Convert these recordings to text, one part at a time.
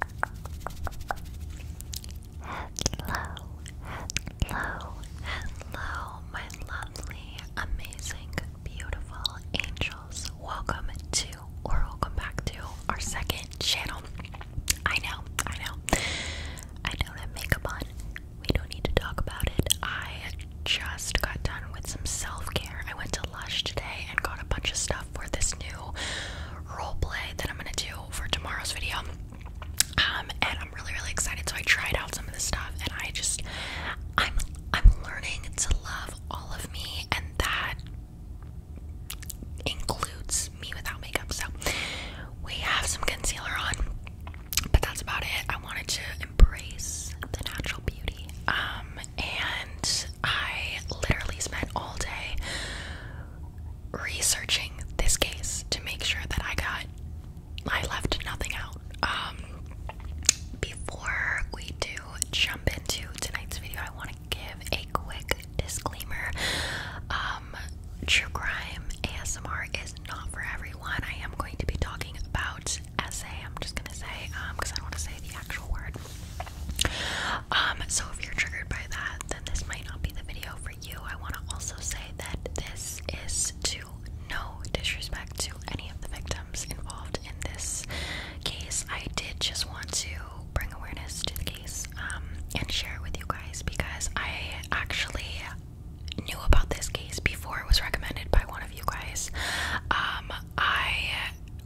Hello, hello, hello, my lovely, amazing, beautiful angels. Welcome to, or welcome back to, our second channel. I know, I know, I don't have makeup on. We don't need to talk about it. I just got done with some self care. I went to Lush today and got a bunch of stuff for this new role that I'm gonna do for tomorrow's video. Um, and I'm really really excited. So I tried out some of this stuff, and I just I'm I'm learning to love all of me, and that includes me without makeup. So we have some concealer on, but that's about it. I wanted to embrace the natural beauty. Um, and I literally spent all day researching this case to make sure that I got I left nothing out. Um, before we do jump into tonight's video, I want to give a quick disclaimer. Um true crime ASMR is not for everyone. I am going to be talking about essay, I'm just gonna say, um, because I don't want to say the actual word. Um, so if you're triggered by that, then this might not be the video for you. I want to also say that this is to no disrespect to any of the victims involved in this case. I did just want to bring awareness to the case um, and share it with you guys because I actually knew about this case before it was recommended by one of you guys. Um, I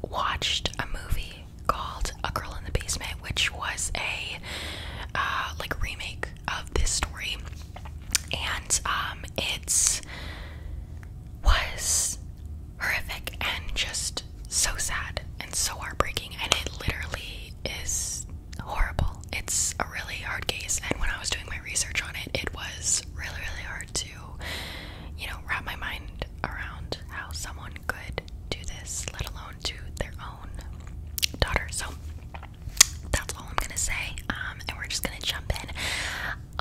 watched a movie called A Girl in the Basement, which was a uh, like remake of this story, and um, it's was horrific and just so sad and so heartbreaking, and it literally is horrible. It's a really hard case, and when I was doing my research on it, it was really really hard to you know, wrap my mind around how someone could do this, let alone to their own daughter. So that's all I'm gonna say. Um, and we're just gonna jump in.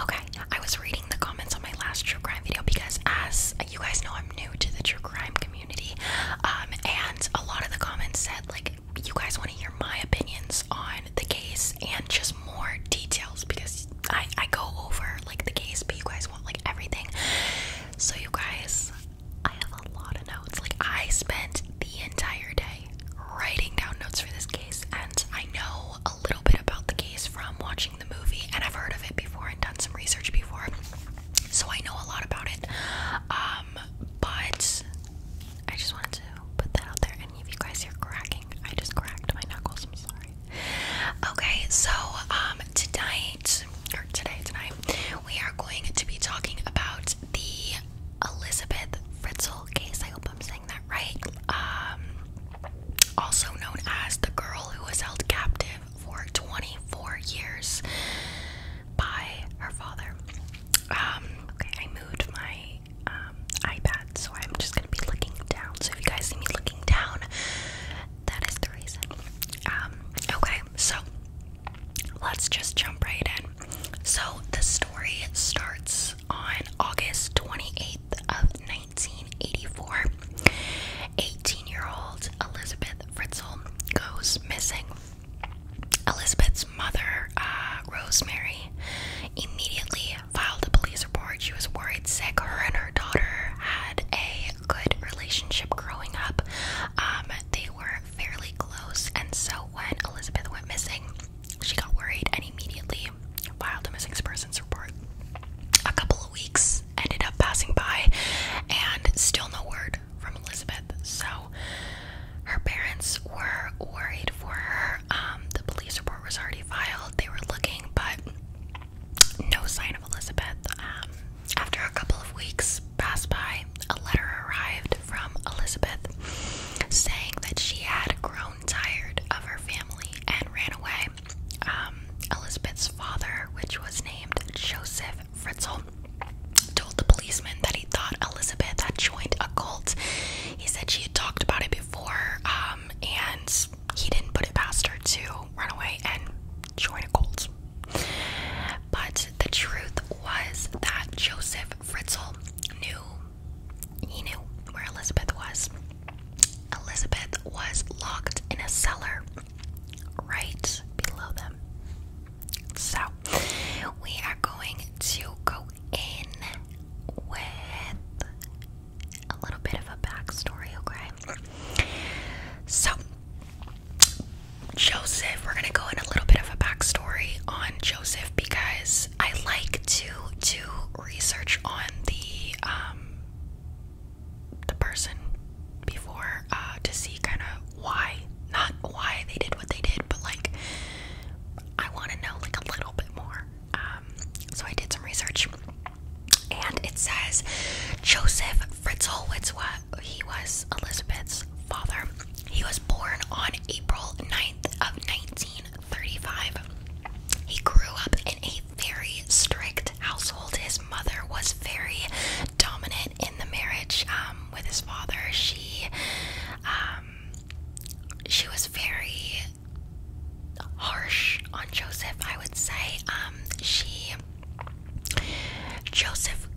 Okay, I was reading the comments on my last true crime video because, as you guys know, I'm new to the true crime community, um, and a lot of the comments said like you guys want to hear my opinions on the case and just more details because I I go over like the case, but you guys like everything. So, you guys, I have a lot of notes. Like, I spent the entire day writing down notes for this case, and I know a little bit about the case from watching the movie, and I've heard of it before and done some research before, so I know a lot about it. Um, but I just wanted to put that out there, Any of you guys hear cracking, I just cracked my knuckles. I'm sorry. Okay, so um tonight or today tonight we are going to be talking about the Elizabeth Fritzl case. I hope I'm saying that right. Um also known as the girl who was held captive for 24 years by her father. Um okay, I moved my um iPad so I'm just gonna be looking down. So if you guys see me looking down, that is the reason. Um, okay, so let's just jump right in. So the story starts on August 28th of 1984. 18-year-old Elizabeth Fritzl goes missing. Elizabeth's mother, uh, Rosemary, immediately filed a police report. She was worried sick. Her and her daughter had a good relationship growing up. Um, they were fairly close, and so when Elizabeth went missing, she got worried and immediately filed a missing persons report. A couple of weeks ended up passing by, and still no word from Elizabeth. So her parents were worried for her. Um, the police report was already filed. They were looking, but no sign of Elizabeth. Um, after a couple of weeks passed by, a letter arrived from Elizabeth saying that she had grown tired of her family and ran away. Um, Elizabeth's father, which was named Joseph Fritzl, told the policeman that he thought Elizabeth had joined a cult. He said she had talked about it before, um, and he didn't put it past her to run away and join a cult. But the truth was that Joseph Fritzl knew he knew where Elizabeth was. Elizabeth was locked in a cellar right below them. So we are going to go in with a little bit of a backstory, okay? So, Joseph, we're gonna go in a little bit of a backstory on Joseph because I like to do research on the um the person before uh, to see kind of why not why they did what they did, but like I want to know like a little bit more um, so I did some research, and it says Joseph Fritzlewitz was he was Elizabeth's father. He was born on April 9th of 1935. He grew up in a very strict household. His mother was very dominant in the marriage um, with his father. She, um, she was very harsh on Joseph, I would say. Um, she, Joseph,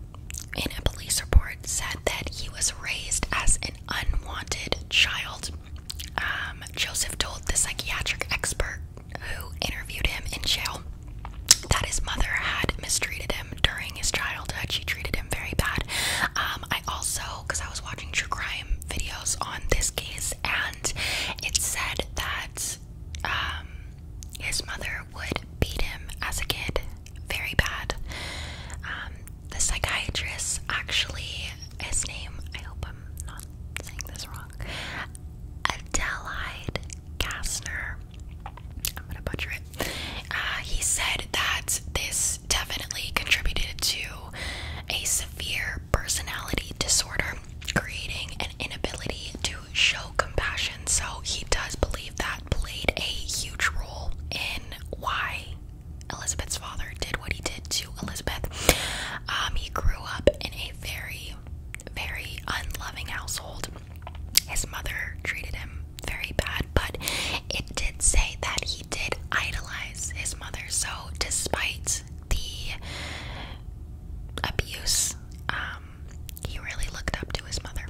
in a police report, said that he was raised as an unwanted child. Um, Joseph told the psychiatric expert who interviewed him in jail that his mother had mistreated him during his childhood. She treated him very bad. Um, I also because I was watching true crime videos on this case, and it said that um, his mother would beat him as a kid very bad. Um, the psychiatrist actually, his name, I hope I'm not saying this wrong, Adelheid Kastner. I'm gonna butcher it. Uh, he said that this definitely contributed to a severe personality disorder, creating an inability to show compassion. So he does believe that played a huge role in why Elizabeth's father did what he did to Elizabeth. Um, he grew up in a very, very unloving household. His mother treated him very badly but it did say that he did idolize his mother. So, despite the abuse, um, he really looked up to his mother.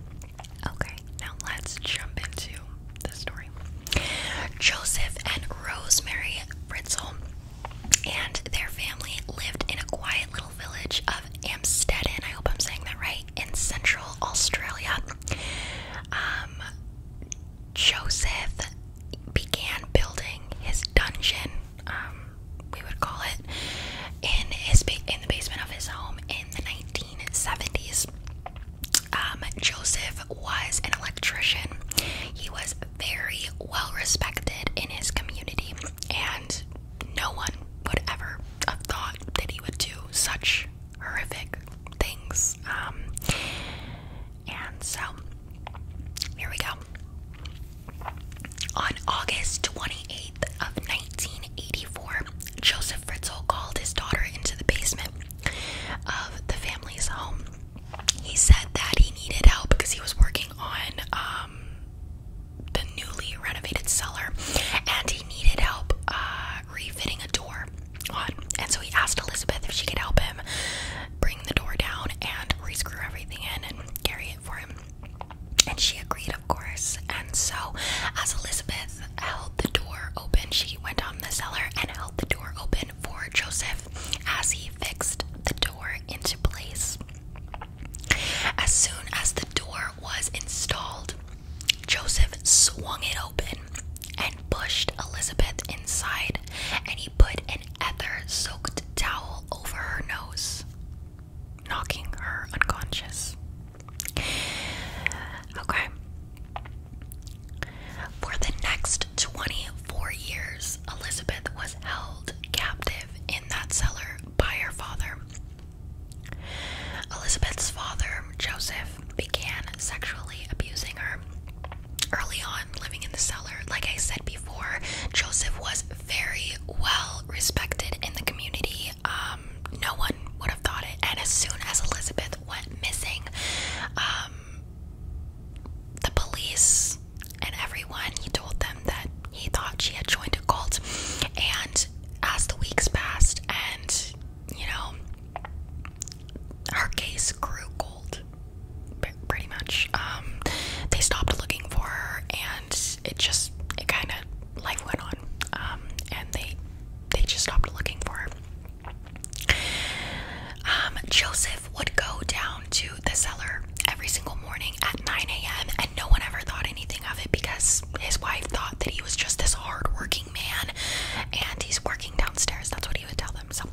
Okay, now let's jump into the story. Joseph and Rosemary Fritzl and their family lived in a quiet little village of Amstetten, I hope I'm saying that right, in central Australia. Um, Joseph began building his dungeon, um, we would call it, in his in the basement of his home in the 1970s. Um, Joseph was an electrician. He was very well respected in his community, and no one would ever have thought that he would do such horrific things. Um, and so, here we go. On August 28th of 1984, Joseph Fritzl called his daughter into the basement of the family's home. He said that he needed help because he was working on um, the newly renovated cellar, and he needed help uh, refitting a door And so he asked Elizabeth if she could help him bring the door down and rescrew everything in and carry it for him. And she agreed, of course. And so, as Elizabeth held the door open, she went on the cellar and held the door open for Joseph as he fixed the door into place. As soon as the door was installed, Joseph swung it open and pushed Elizabeth inside, and he put an ether soaked towel over her nose, knocking her unconscious. Okay. For the next 24 years, Elizabeth was held captive in that cellar by her father. Elizabeth's father, Joseph, began sexually abusing her early on living in the cellar. Like I said before, Joseph was very well respected in the community. Um, no one would have thought it. And as soon as Elizabeth went missing, um, the police and everyone, he told them that he thought she had joined a cult. And as the weeks passed, and you know, her case grew cold, pretty much. Um, they stopped looking for her, and it just it kind of life went on, um, and they they just stopped looking for her. Um, Joseph would go down to the cellar every single morning at 9 a.m. and no one ever thought anything of it because his wife thought that he was just this hardworking man and he's working downstairs. That's what he would tell them. So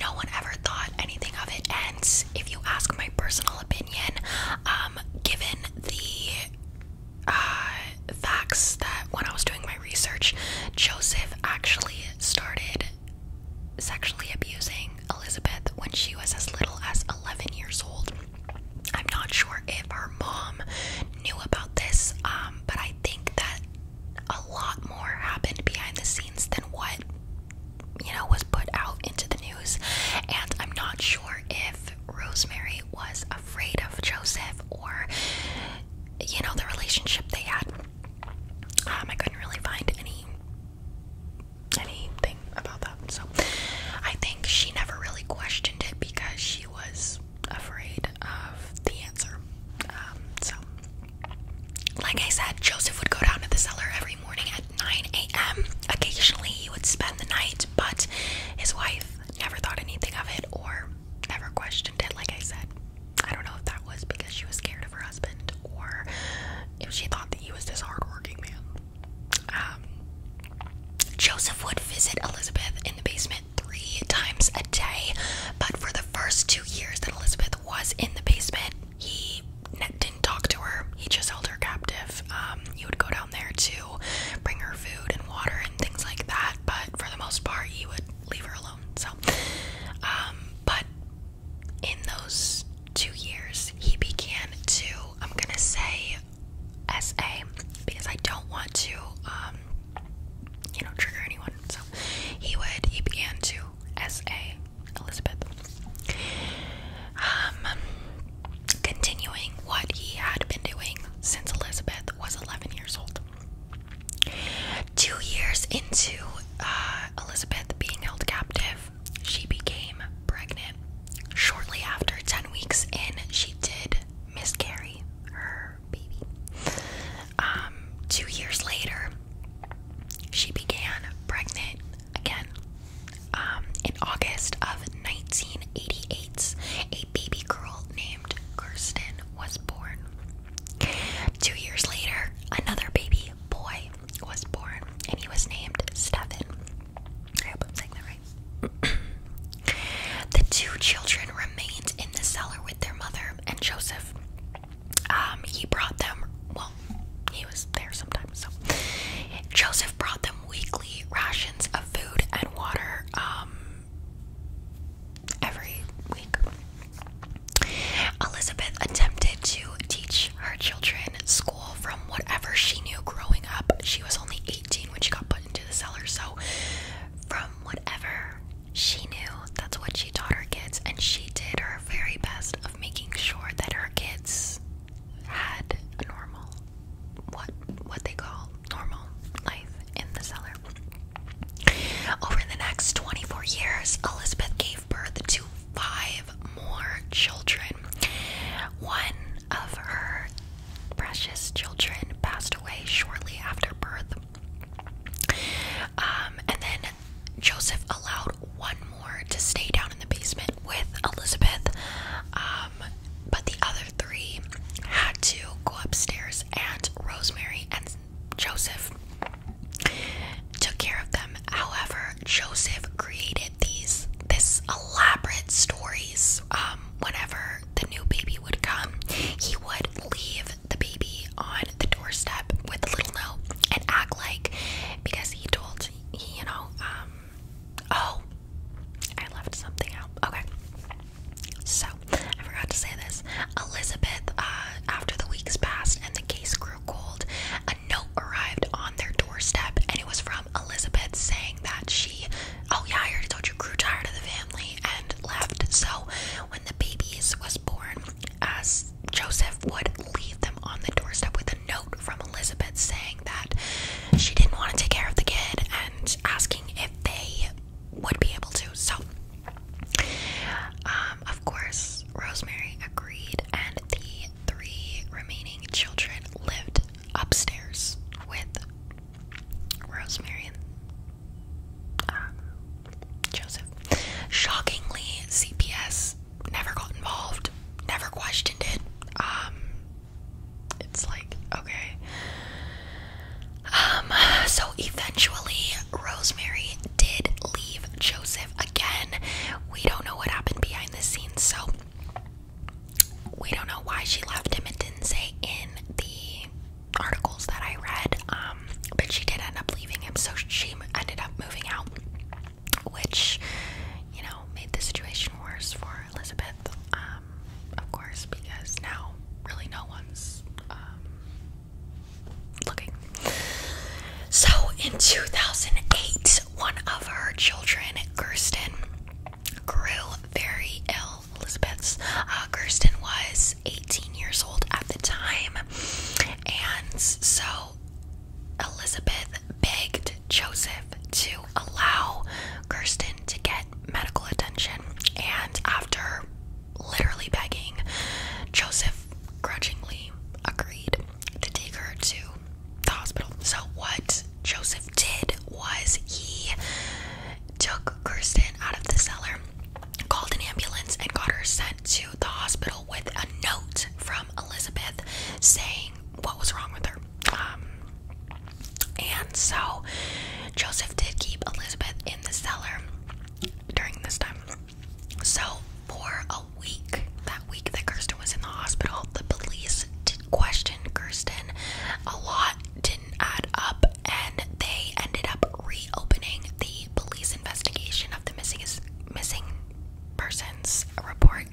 no one ever thought anything of it. And if you ask my personal opinion, um, given the uh, facts that when I was doing my research, Joseph actually started sexually abusing Elizabeth when she was as little as 11 years old. I'm not sure if her mom knew about this, um, but I think that a lot more happened behind the scenes than what you know was put out into the news. And I'm not sure if Rosemary was afraid of Joseph or you know the relationship they had. Um, I couldn't really find any anything about that. So I think she never really questioned it because she was was afraid of the answer. Um, so, like I said, Joseph would go down to the cellar every morning at 9 a.m. Occasionally, he would spend the night, but his wife never thought anything of it or never questioned it. Like I said, I don't know if that was because she was scared of her husband or if she thought that he was this hardworking man. Um, Joseph would visit Elizabeth in the basement three times a day, but for the first two years that Elizabeth was in the basement, he didn't talk to her. He just held her captive. You um, would go down there to bring her food and water and things like that, but for the most part, he would leave her alone. So, um, but in those two years, he began to, I'm gonna say, SA because I don't want to, um, you know, trigger anyone. So he would, he began to SA Elizabeth. Um, continuing what he had been doing since Elizabeth was 11 years old. Two years into uh, Elizabeth being held captive, she became pregnant shortly after 10 weeks in, she did miscarry her baby. Um, two years later, she began pregnant again. Um, in August of 1988, a baby girl named Kirsten was born. Two years later, another baby boy was born, and he was named Stephen. I hope I'm saying that right. the two children remained in the cellar with their mother and Joseph. Um, he brought them, well, he was there sometimes, so Joseph brought them weekly rations of food and water um, every week. Elizabeth attempted to teach her children school from whatever she knew growing up. She was only 18 when she got put into the cellar. So, from whatever she knew, that's what she taught her kids, and she did her very best of making sure that her kids had a normal, what what they call normal life in the cellar. Over the next 24 years, Elizabeth gave birth to five more children. One of her precious children passed away shortly after birth. Um, and then Joseph allowed one more to stay down in the basement with Elizabeth, um, but the other three had to go upstairs, and Rosemary and Joseph took care of them. However, Joseph created these this elaborate stories. Um, whenever the new baby would come, he would leave the baby on the doorstep with a little note and act like because he told he, you know, um, oh, I left something out. Okay. So, I forgot to say this. Elizabeth, uh, after the weeks passed and the case grew cold, note arrived on their doorstep, and it was from Elizabeth saying that she, oh yeah, I already told you, grew tired of the family and left. So when the babies was born, as Joseph would leave them on the doorstep with a note from Elizabeth saying that she didn't want to take care of the kid and asking if they would be able to. So, um, of course, Rosemary agreed, and the three remaining children lived upstairs with Rosemary and um, Joseph. Shockingly, CPS never got involved, never questioned it. Um, it's like, okay. Um, so eventually, Rosemary did leave Joseph again. We don't know what happened behind the scenes, so we don't know why she left him. It didn't say in the articles that I read, um, but she did end up leaving him, so she ended up moving out, which, you know, made the situation worse for Elizabeth, um, of course, because now really no one's um, looking. So in 2008, one of her children, Kirsten, grew very ill. Elizabeth's uh, Kirsten was 18 years old at the time, and so Elizabeth begged Joseph to allow Kirsten to get medical attention. And after literally begging, Joseph grudgingly agreed to take her to the hospital. So, what Joseph did was he took Kirsten out of the cellar, called an ambulance, and got her sent to the hospital with a note from Elizabeth saying what was wrong with her. Um, and so, Joseph did keep Elizabeth in the cellar during this time. So, for week. That week that Kirsten was in the hospital, the police did question Kirsten. A lot didn't add up, and they ended up reopening the police investigation of the missing missing persons report,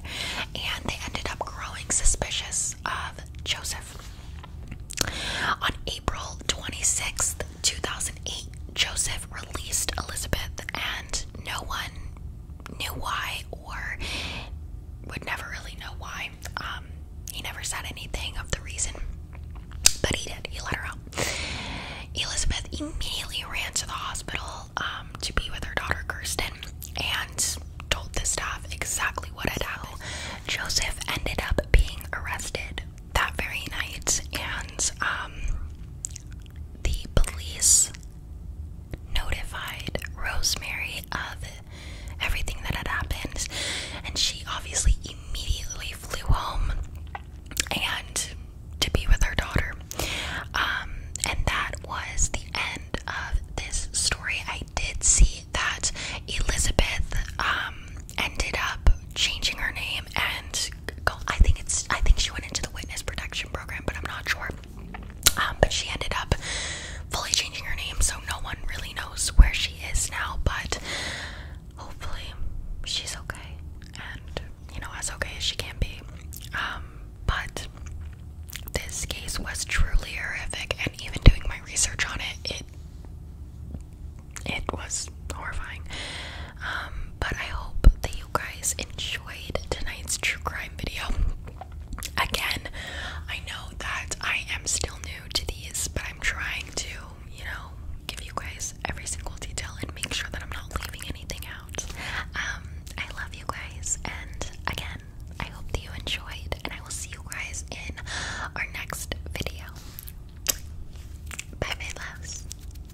and they ended up growing suspicious of Joseph. On April 26th, 2008, Joseph released Elizabeth, and no one knew why or would never really know why. Um, he never said anything of the reason, but he did. He let her out. Elizabeth immediately ran to the hospital um, to be with her daughter Kirsten and told the staff exactly what had happened. Joseph ended up being arrested that very night, and um, the police notified Rosemary of everything that had happened, and she obviously immediately flew home and to be with her daughter. Um, and that was the end of this story. I did see that Elizabeth um, ended up changing her name and I think it's. I think she went into the witness protection program, but I'm not sure. Um, but she ended up fully changing her name, so no one really knows where she is now. But hopefully, she's okay, and you know, as okay as she can be. Um, but this case was truly horrific, and even doing my research on it, it it was horrifying. Um, but I hope that you guys enjoyed tonight's true crime video. Again, I know that I am still new to these, but I'm trying to, you know, give you guys every single detail and make sure that I'm not leaving anything out. Um, I love you guys, and again, I hope that you enjoyed, and I will see you guys in our next video. Bye, my